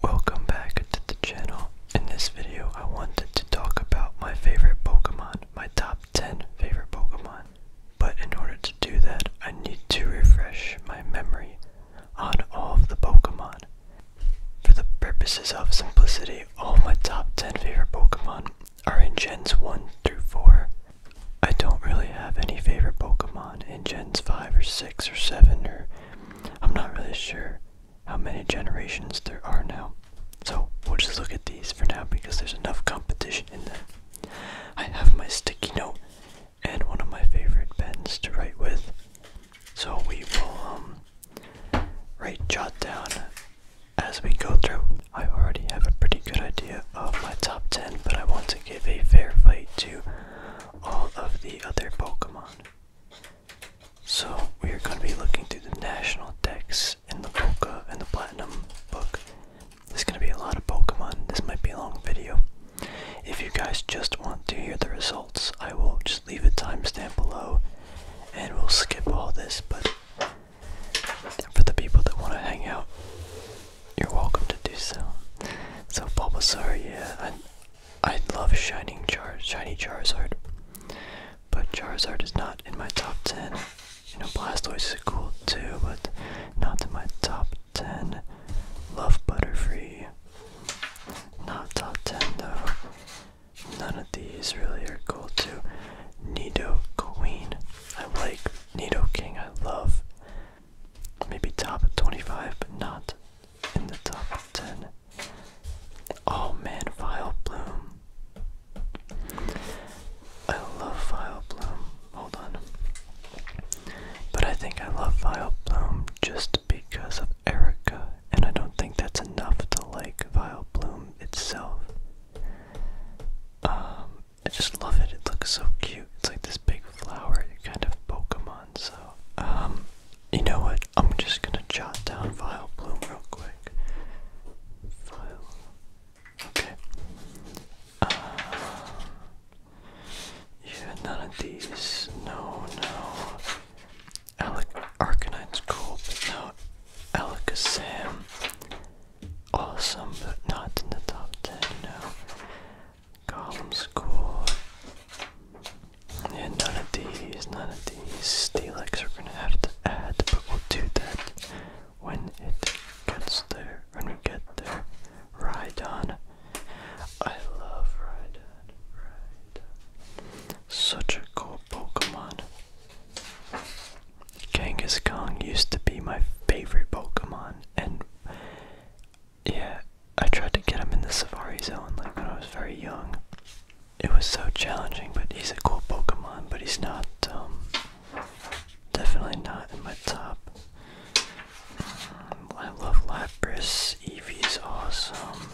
Welcome back to the channel. In this video, I wanted to talk about my favorite Pokemon, my top 10 favorite Pokemon. But in order to do that, I need to refresh my memory on all of the Pokemon. For the purposes of simplicity, all my top 10 favorite Pokemon are in Gens 1 through 4. I don't really have any favorite Pokemon in Gens 5 or 6 or 7 or I'm not really sure how many generations there are now. So we'll just look at these for now because there's enough competition in them. I have my sticky note and one of my favorite pens to write with. So we will um, write jot down as we go through. I already have a pretty good idea of my top 10, but I want to give a fair fight to all of the other Pokemon. So, we are going to be looking through the national Dex in the Polka and the Platinum book. There's going to be a lot of Pokemon. This might be a long video. If you guys just want to hear the results, I will just leave a timestamp below and we'll skip all this. But for the people that want to hang out, you're welcome to do so. So, Bulbasaur, yeah, I love shining Char shiny Charizard, but Charizard is not in my top 10. You know, Blastoise is cool too, but not in my top 10. Love Butterfree. Not top 10 though. None of these really are cool too. Nido Queen. I like Nido King. I love. Maybe top 25, but not in the top 10. Oh man, Vile Bloom. I love Vile Bloom. Hold on. But I think I love Vile Bloom just because of Erica, and I don't think that's enough to like Vile Bloom itself. Um, I just love it. It looks so cute. It's like this big flower kind of Pokemon, so um you know what? I'm just gonna jot down Vile Bloom real quick. Vile. Okay. yeah, uh, none of these. No, no. Alec Arcanine's cool, but no. Sam. Awesome, but not in the top 10, no. Column score. Yeah, none of these, none of these. Steelix we're gonna have to add, but we'll do that when it gets there. When we get there. Rhydon. I love Rhydon. Rhydon. Such a cool Pokemon. Genghis Kong used to be my favorite Pokemon and yeah, I tried to get him in the Safari Zone like when I was very young. It was so challenging, but he's a cool Pokemon, but he's not, um, definitely not in my top. Mm, I love Lapras, Eevee's awesome,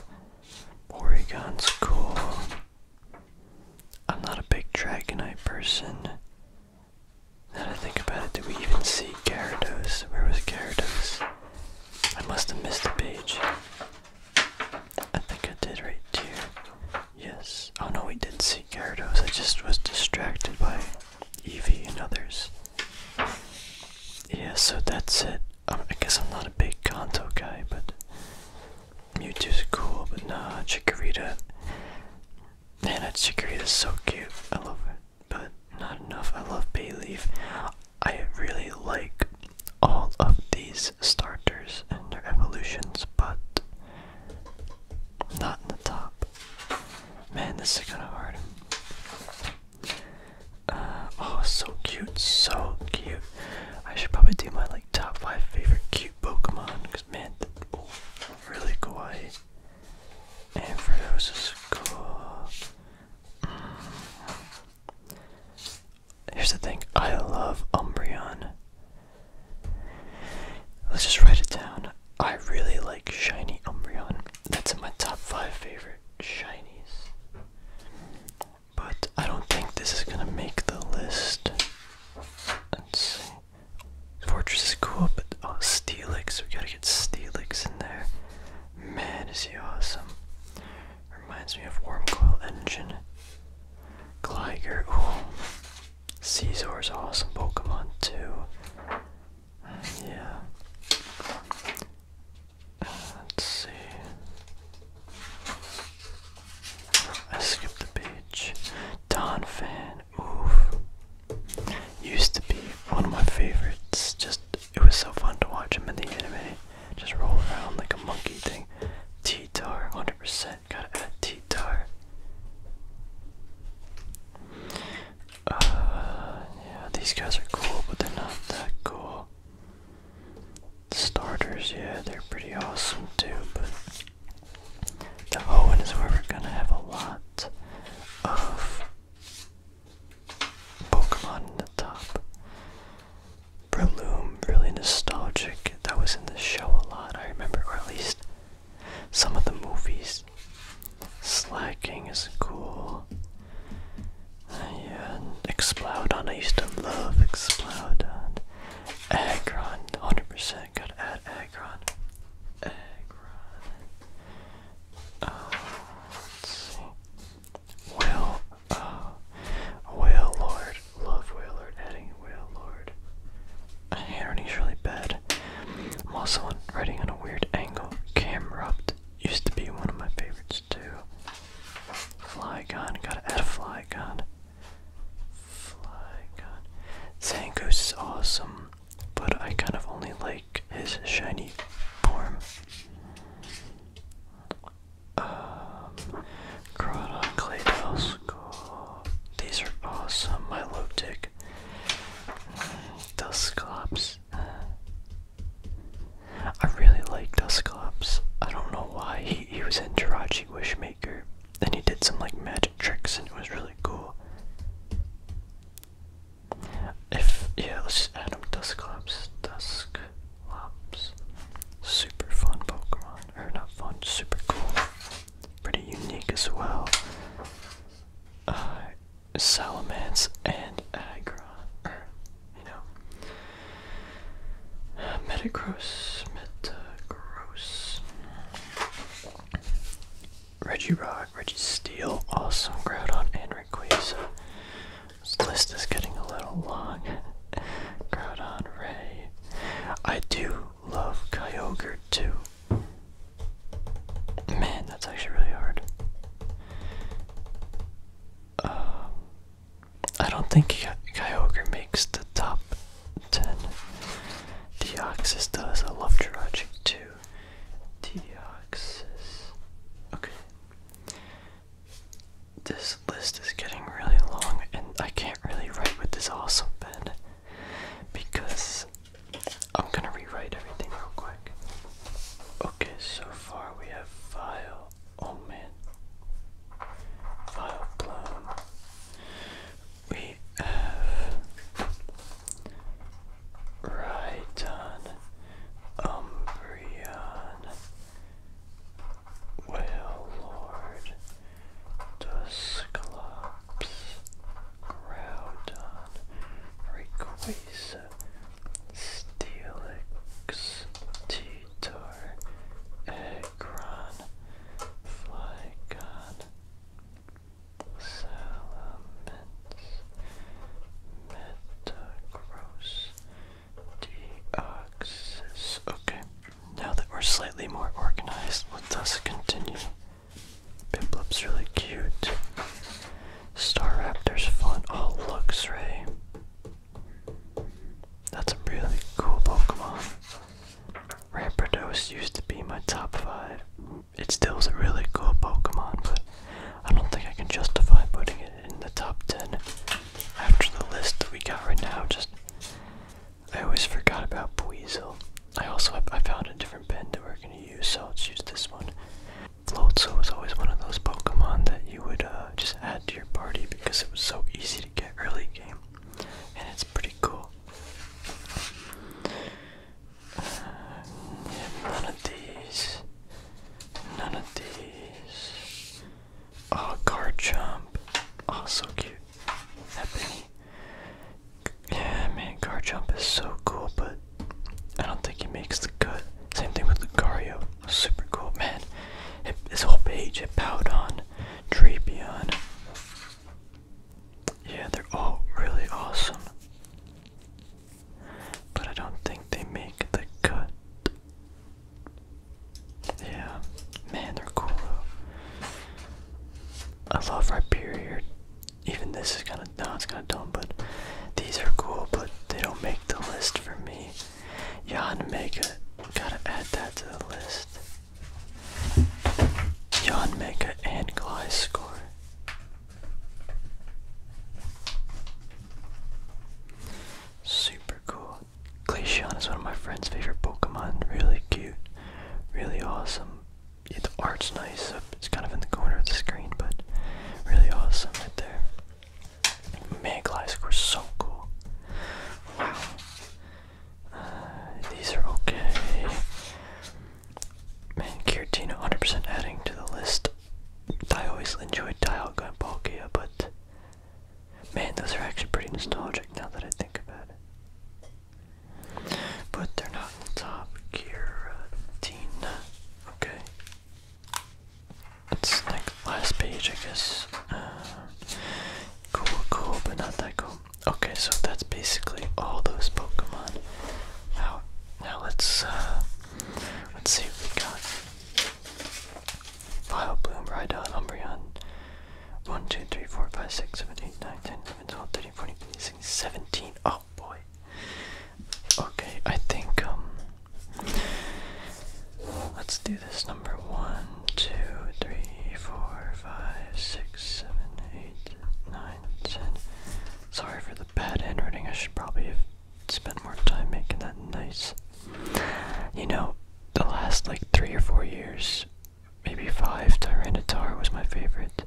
Oregon's cool. I'm not a big Dragonite person. Now that I think about it, did we even see Gyarados? Where was Gyarados? I must have missed the page. I think I did right here. Yes. Oh no, we did see Gyarados. I just was distracted by Evie and others. Yeah, so that's it. Um, I guess I'm not a big Kanto guy, but Mewtwo's cool, but nah, Chikorita. Man, that is so cute. I love it but not enough. I love bay leaf. I really like all of these starters and their evolutions, but not in the top. Man, this is kind of hard. Uh, oh, so cute, so cute. I should probably do my like top five favorite cute Pokemon because man, oh, really kawaii. And for those is cool. Uh, here's the thing I love Umbreon. Let's just write it down. I really like Shiny Umbreon. That's in my top 5 favorite shinies. But I don't think this is gonna make the list. Let's see. Fortress is cool, but oh, Steelix. We gotta get Steelix in there. Man, is he awesome. Reminds me of Warm Coil Engine. Gligar, ooh. Caesar's awesome Pokemon too. Yeah. let's see. I skipped the page. Don Fan, oof. Used to be one of my favorites. Just it was so fun to watch him in the anime. Just roll around like a monkey thing. T-Tar, 100%. Gotta add T-Tar. Uh, yeah, these guys are cool, but they're not that cool. Starters, yeah, they're pretty awesome too, but the Owen is where we're gonna have a lot of Pokemon in the top. Breloom, really nostalgic. That was in the show a lot, I remember, or at least some of the movies. Slacking is cool. Uh, yeah, Explodon, I used to love Explodon. Aggron, 100%, percent good at add Aggron. Aggron. Uh, let's see. Whale, uh, Whale Lord. Love Whale Lord. Adding Whale Lord. Irony's really bad. I'm also on, writing on a weird angle. Camrupt used to be one of my favorites too. Flygon, gotta add a Flygon. Flygon. Zangoose is awesome, but I kind of only like his shiny form. Um, Crawdon, Claydos, cool. These are awesome. Milotic, Dusclops. I really like Dusclops. I don't know why. He, he was in Jirachi Wishmaker. Then he did some like magic tricks and it was really cool. If yeah, let's just add them. Dusclops, Dusclops, super fun Pokemon, or not fun, super cool, pretty unique as well. Uh, Salamence and Aggron, you know, Metagross, Metagross, Reggie Metagross, Reggie Steel, awesome Groudon, and Rayquaza. This list is getting a little long. Groudon, Ray. I do love Kyogre too. Man, that's actually really hard. Uh, I don't think Ky makes the top 10. Deoxys does. I love Jirachi too. Deoxys. Okay. This list is getting really long, and I can't really write with this awesome pen because I'm gonna rewrite everything real quick. Okay, so far we have file. Oh man. File blown. We have right on Umbreon. Well, Lord, the Cyclops, Groudon, Steelix, Titor, Eggron, Flygon, Salamence, Metagross, Okay. Now that we're slightly more organized, let us continue. Biplop's really cute. Star Raptor's fun. Oh, looks ray. That's a really cool Pokemon. Rampardos used to be my top 5. It still is a really cool Pokemon, but I don't think I can justify putting it in the top 10 after the list that we got right now. Just I always forgot about Buizel. I also I found a different pen that we're gonna use, so let's use this one. Floatzel was always one of those Pokemon that you would uh, just add to your party because it was so easy to get early game, and it's pretty cool. Uh, none of these. None of these. Oh, guard jump. Oh, so cute. That penny. Yeah, man, guard jump is so cool, but I don't think he makes the cut. Same thing with Lucario. Super cool, man. It, his whole page, it bowed on Drapion. Yeah, they're all really awesome but I don't think they make the cut. Yeah, man, they're cool I love Rhyperior. Even this is kind of no, it's kind of dumb, but these are cool, but they don't make the list for me. Yon Mega, gotta add that to the list. Yon Mega and Gly's score. Super cool. Glaceon is one of my friend's favorite Pokemon. Really cute. Really awesome. the art's nice. It's kind of in the corner of the screen, but really awesome right there. Man, Gliscor so cool. Wow. Uh, these are okay. Man, Curatino 100% adding to the list. I always enjoyed Dialga and Palkia, but man, those are actually pretty nostalgic now that I think about it. But they're not in top gear uh, Okay. It's like last page, I guess. Uh, cool, cool, but not that cool. Okay, so that's basically all those Pokemon. Now, now let's uh, let's see what we got. Vile Bloom, Rydon, Umbreon. 1, 2, 3, 4, 5, 6, 7, 8, 9, 10, 11, 12, 13, 14, 15, 16, 17. Oh boy. Okay, I think, um. Let's do this number 1, 2, 3, 4, 5, 6, 7, 8, 9, 10. Sorry for the bad handwriting. I should probably have spend more time making that nice. You know, the last like three or four years, maybe five, Tyranitar was my favorite.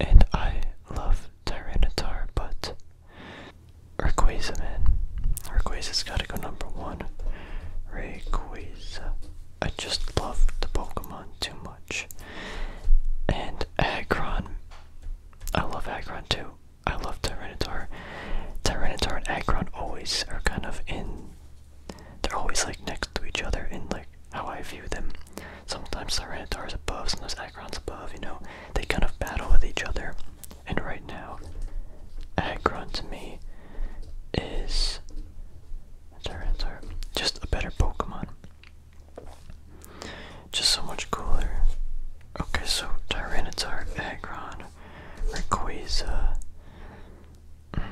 And I love Tyranitar, but Rayquaza, man. Rayquaza's gotta go number one. Rayquaza. I just love the Pokemon too much. And Aggron. I love Aggron too. I love Tyranitar. Tyranitar and Aggron always are kind of in. They're always like next to each other in like how I view them. Sometimes Tyranitar is above, sometimes Aggron's above. You know, they kind of battle with each other. And right now, Aggron to me is Tyranitar, just a better Pokemon just so much cooler. Okay, so Tyranitar, Aggron, Rayquaza. Mm.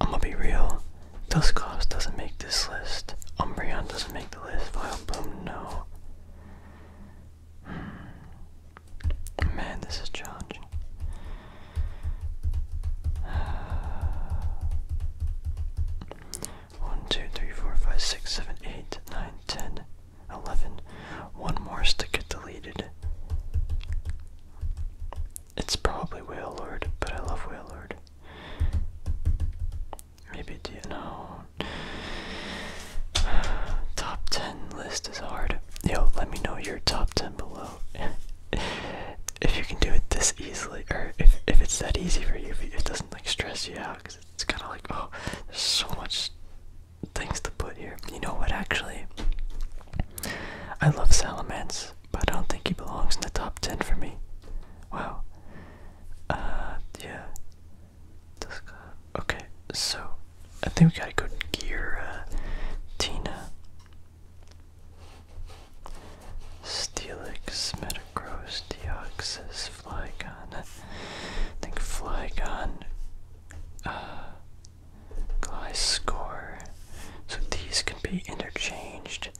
I'm gonna be real. Dusclops doesn't make this list. Umbreon doesn't make the list. Vileplume, no. Hmm. Man, this is challenging. Uh, one, two, three, four, five, six, seven, eight, nine, ten. 11. One more is to get deleted. It's probably Whale Lord, but I love Whale Lord. Maybe do you know? top 10 list is hard. Yo, let me know your top 10 below. if you can do it this easily, or if, if it's that easy for you, it doesn't like stress you out, it's kind of like, oh, there's so much things to put here. You know what, actually? I love Salamence, but I don't think he belongs in the top 10 for me. Wow. Uh, yeah. Okay, so I think we gotta go gear uh, Tina. Steelix, Metacross, Deoxys, Flygon. I think Flygon, uh, Gliscor. So these can be interchanged.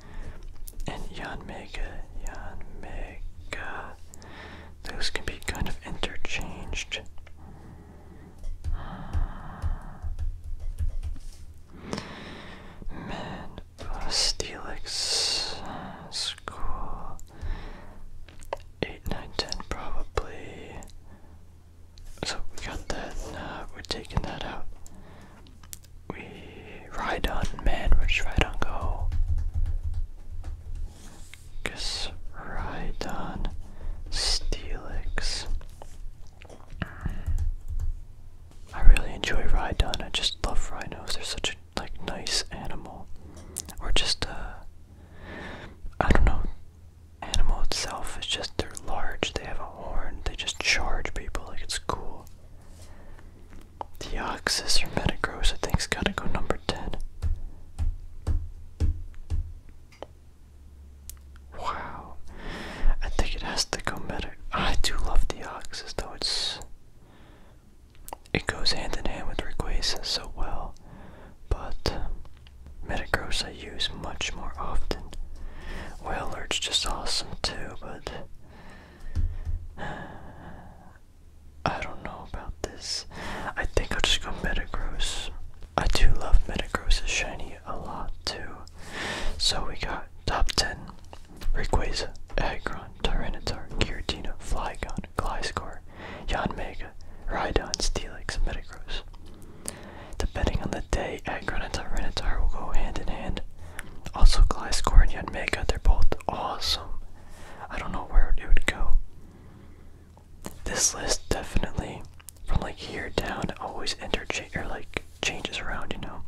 And Yanmega, Yanmega. Those can be kind of interchanged. Man, Steelix, uh, School, 8, 9, probably. So we got that, uh, we're taking that out. We ride on man, we're just ride on go. Guess ride on Steelix. I really enjoy on. I just love rhinos. They're such a like nice animal. Or just uh, I don't know. Animal itself is just they're large. They have a horn. They just charge people like it's cool. The oxes are better gross. I think's gotta go number ten. Wow, I think it has to go Meta. I do love the oxes, though. It's it goes hand in hand with Rayquaza so well, but Metagross I use much more often. Well, Lurch just awesome too, but I don't know about this. I think I'll just go Metagross. I do love Metagross's shiny a lot too. So we got top 10 Rayquaza, Aggron, Tyranitar, Giratina, Flygon, Cloud, Gliscor, Jan Mega, Rhydon, Steelix, and Metagross. Depending on the day, Aggron and Tyranitar will go hand in hand. Also, Gliscor and Jan Mega, they're both awesome. I don't know where it would go. This list definitely, from like here down, always interchange or like changes around, you know.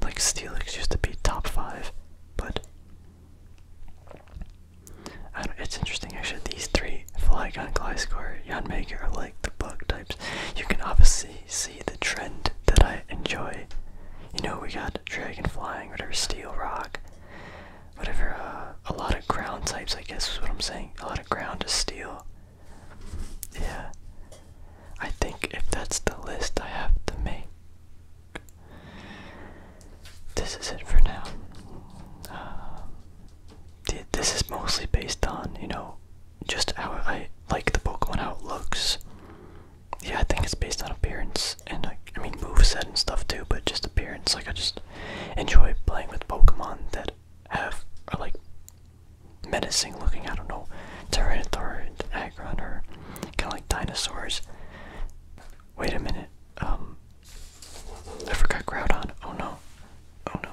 Like Steelix used to be top five, but it's interesting actually. These three, Flygon, Gliscor, Yanmaker, are like the bug types. You can obviously see the trend that I enjoy. You know, we got Dragon Flying, whatever, Steel Rock, whatever. Uh, a lot of ground types, I guess, is what I'm saying. A lot of ground is steel. Yeah. I think if that's the list I have to make this is it for now. Um, this is mostly based on, you know, just how I like the Pokemon, how it looks. Yeah, I think it's based on appearance, and I, I mean moveset and stuff too, but just appearance. Like, I just enjoy playing with Pokemon that have, are like, menacing looking, I don't know, Tyranitar Aggron, or kind of like dinosaurs. Wait a minute, um, I forgot Groudon. Oh no. Oh no.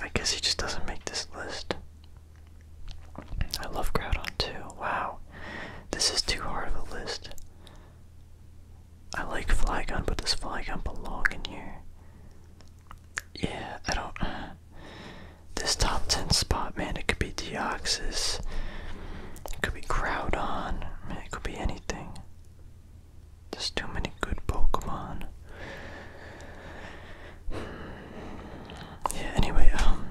I guess he just doesn't make this list. I love Crowdon too. Wow. This is too hard of a list. I like Flygon, but does Flygon belong in here? Yeah, I don't. Uh, this top 10 spot, man, it could be Deoxys. It could be Crowdon. I it could be anything. There's too many good Pokemon. Yeah, anyway, um.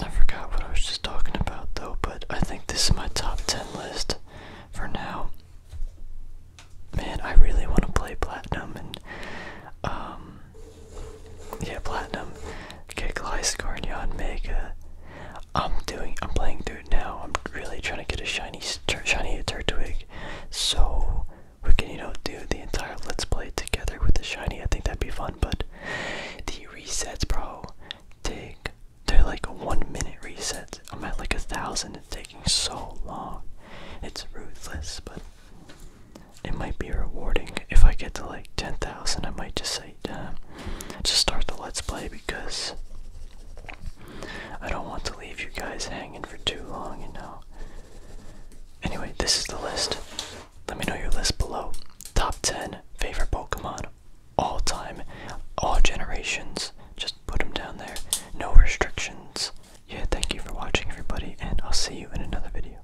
I forgot what I was just talking about though, but I think this is my top 10 list for now. Man, I really want to play Platinum um. Yeah, platinum. Get Gliscornion Mega. I'm doing. I'm playing through now. I'm really trying to get a shiny, shiny Turtwig, so we can you know do the entire Let's Play together with the shiny. I think that'd be fun. But the resets, bro, take they're like a one minute resets. I'm at like a thousand. It's taking so long. It's ruthless, but it might be rewarding if I get to like 10,000. I might just say, uh, just start the let's play because I don't want to leave you guys hanging for too long, you know. Anyway, this is the list. Let me know your list below. Top 10 favorite Pokemon all time, all generations. Just put them down there. No restrictions. Yeah, thank you for watching, everybody, and I'll see you in another video.